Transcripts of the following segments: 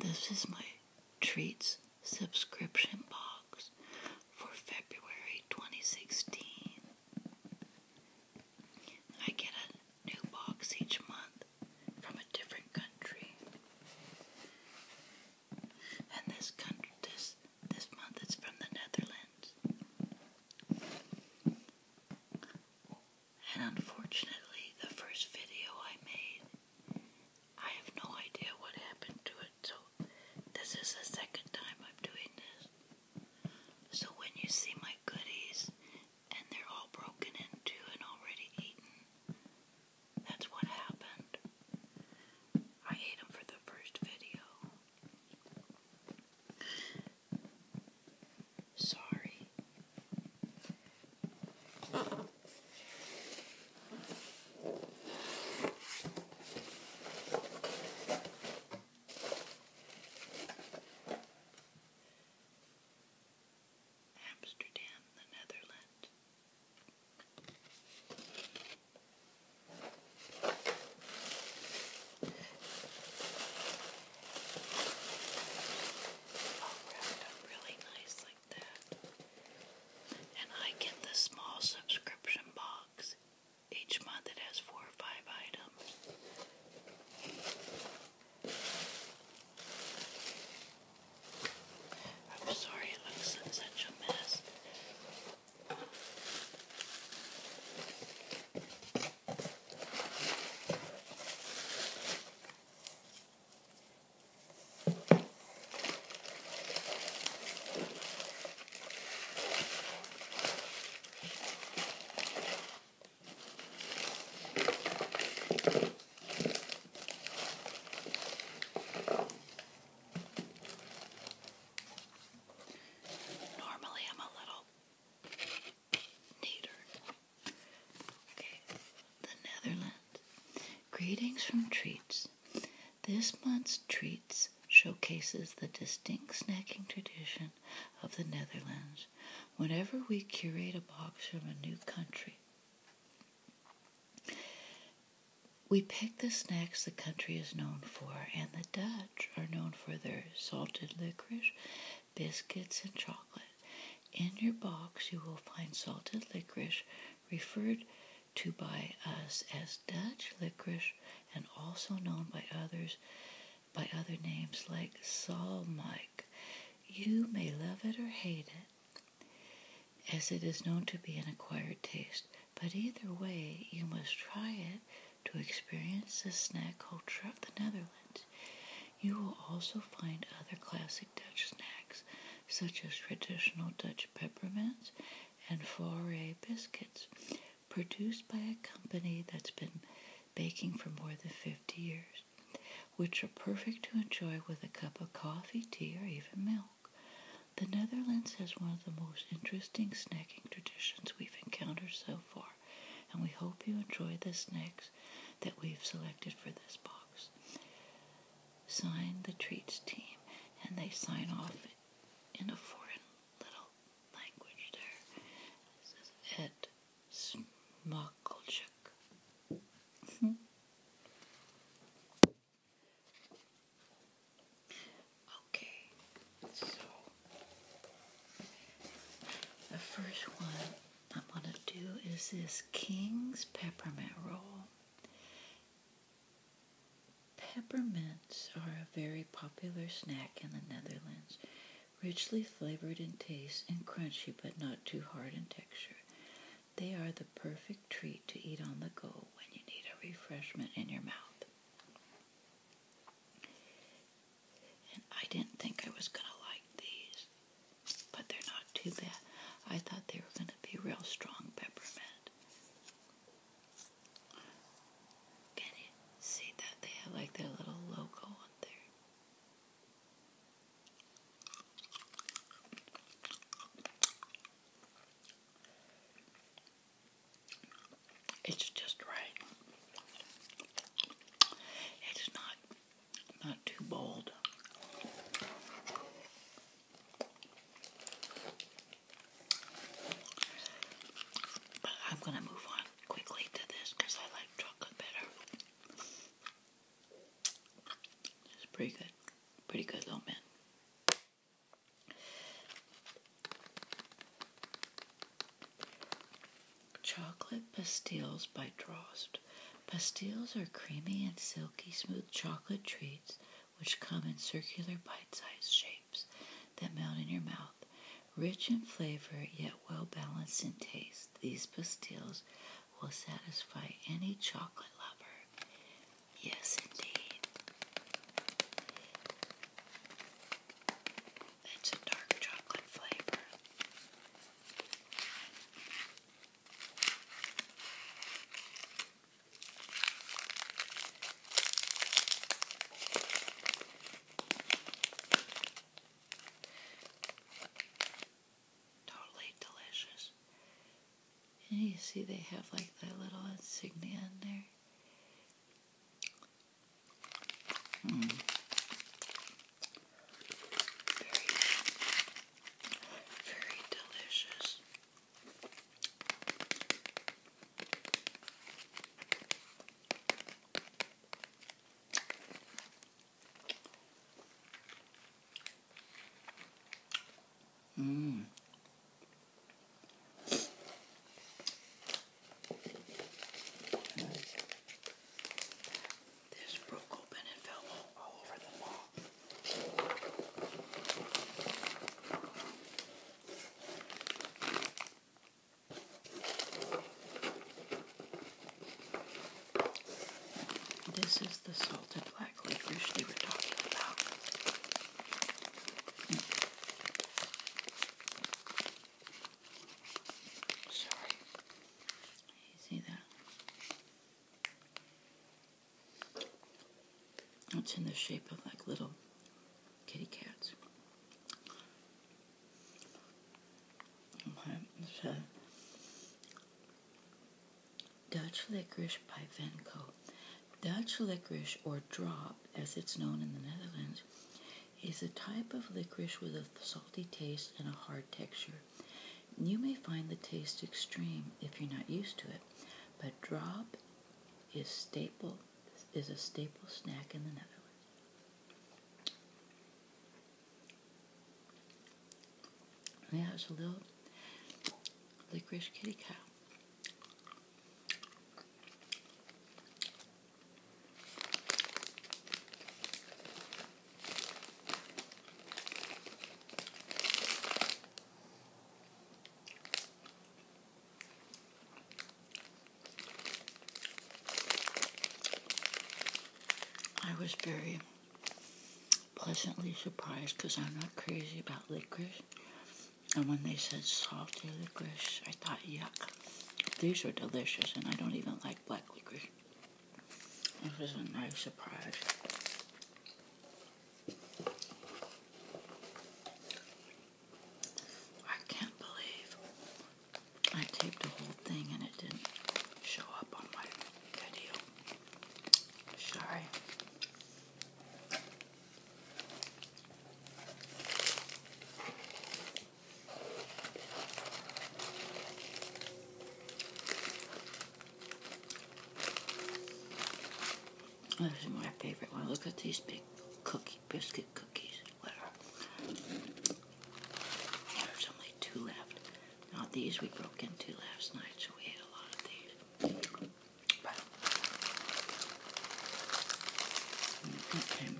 This is my treats subscription box for February 2016. I get a new box each month from a different country. And this country, this this month it's from the Netherlands. And unfortunately, the first video I made, I have no idea what happened to it. So this is the second time I'm doing this. So when you see my goodies and they're all broken into and already eaten. That's what happened. I ate them for the first video. Sorry. Amsterdam, the Netherlands. All oh, wrapped up really nice like that. And I get the small subscription box. Each month it has four or five items. I'm sorry it looks like such a mess. Normally, I'm a little neater. Okay, the Netherlands. Greetings from Treats. This month's Treats showcases the distinct snacking tradition of the Netherlands. Whenever we curate a box from a new country, we pick the snacks the country is known for, and the Dutch are known for their salted licorice, biscuits, and chocolate. In your box, you will find salted licorice referred to by us as Dutch licorice and also known by others by other names like Saul You may love it or hate it, as it is known to be an acquired taste, but either way, you must try it to experience the snack culture of the Netherlands. You will also find other classic Dutch snacks, such as traditional Dutch peppermints and foray biscuits, produced by a company that's been baking for more than 50 years, which are perfect to enjoy with a cup of coffee, tea, or even milk. The Netherlands has one of the most interesting snacking traditions we've encountered so far, and we hope you enjoy the snacks that we've selected for this box. Sign the treats team, and they sign off in a foreign little language there. This is it. Smokolczyk. Hm. okay, so the first one I'm going to do is this King's Peppermint Roll. Peppermints are a very popular snack in the Netherlands richly flavored in taste and crunchy but not too hard in texture. They are the perfect treat to eat on the go when you need a refreshment in your mouth. I didn't think I was going to like these, but they're not too bad. I thought they were going to be real strong peppermint. see that? They have like their little logo on there. It's just right. It's not not too bold. But I'm going to move on quickly to this because I like chocolate better. It's pretty good. Pretty good little man. Chocolate pastilles by Drost. Pastilles are creamy and silky smooth chocolate treats which come in circular bite-sized shapes that melt in your mouth. Rich in flavor, yet well balanced in taste, these pastilles will satisfy any chocolate lover. Yes, indeed. It's a dark chocolate flavor. Totally delicious. And you see they have like that little insignia in there. Hmm. Very, very delicious. Mm. broke open and fell all over the wall. This is the salted black licorice they were talking about. Sorry. see that? It's in the shape of like little kitty cats. Dutch licorice by Venko. Dutch licorice, or drop as it's known in the Netherlands, is a type of licorice with a salty taste and a hard texture. You may find the taste extreme if you're not used to it, but drop is staple is a staple snack in the Netherlands. Yeah, it's a little licorice kitty cat. I was very pleasantly surprised because I'm not crazy about licorice. And when they said salty licorice, I thought, yuck, these are delicious, and I don't even like black licorice. This was a nice surprise. I can't believe I taped a whole thing and it didn't show up on my video. Sorry. This is my favorite one. Look at these big cookie biscuit cookies. There's only two left. Not these we broke into last night, so we had a lot of these. okay.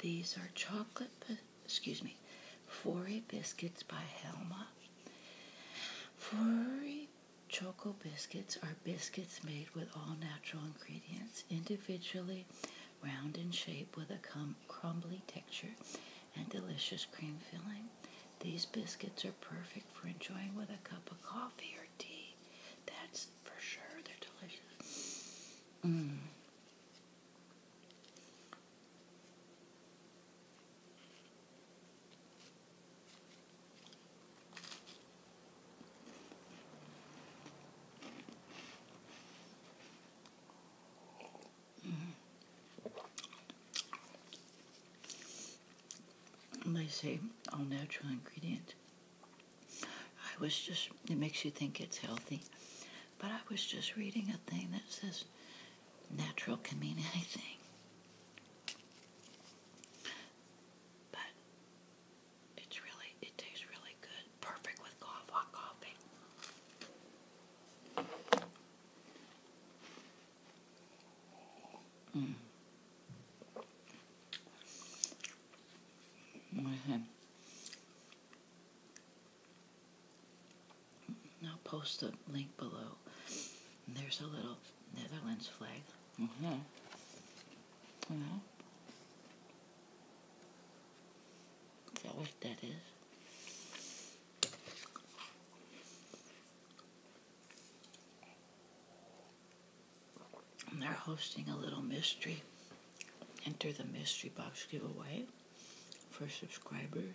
These are chocolate, excuse me, Foray biscuits by Helma. Foray choco biscuits are biscuits made with all natural ingredients individually round in shape with a crumbly texture and delicious cream filling. These biscuits are perfect for enjoying with a cup of coffee or tea. That's for sure. They're delicious. Mm. And mm-hmm. they say all natural ingredient. I was just, it makes you think it's healthy. But I was just reading a thing that says natural can mean anything. But it's really, it tastes really good. Perfect with coffee, hot coffee. Mm. Okay. I'll post the link below. There's a little Netherlands flag. Mm -hmm. Is that what that is? And they're hosting a little mystery. Enter the mystery box giveaway for subscribers.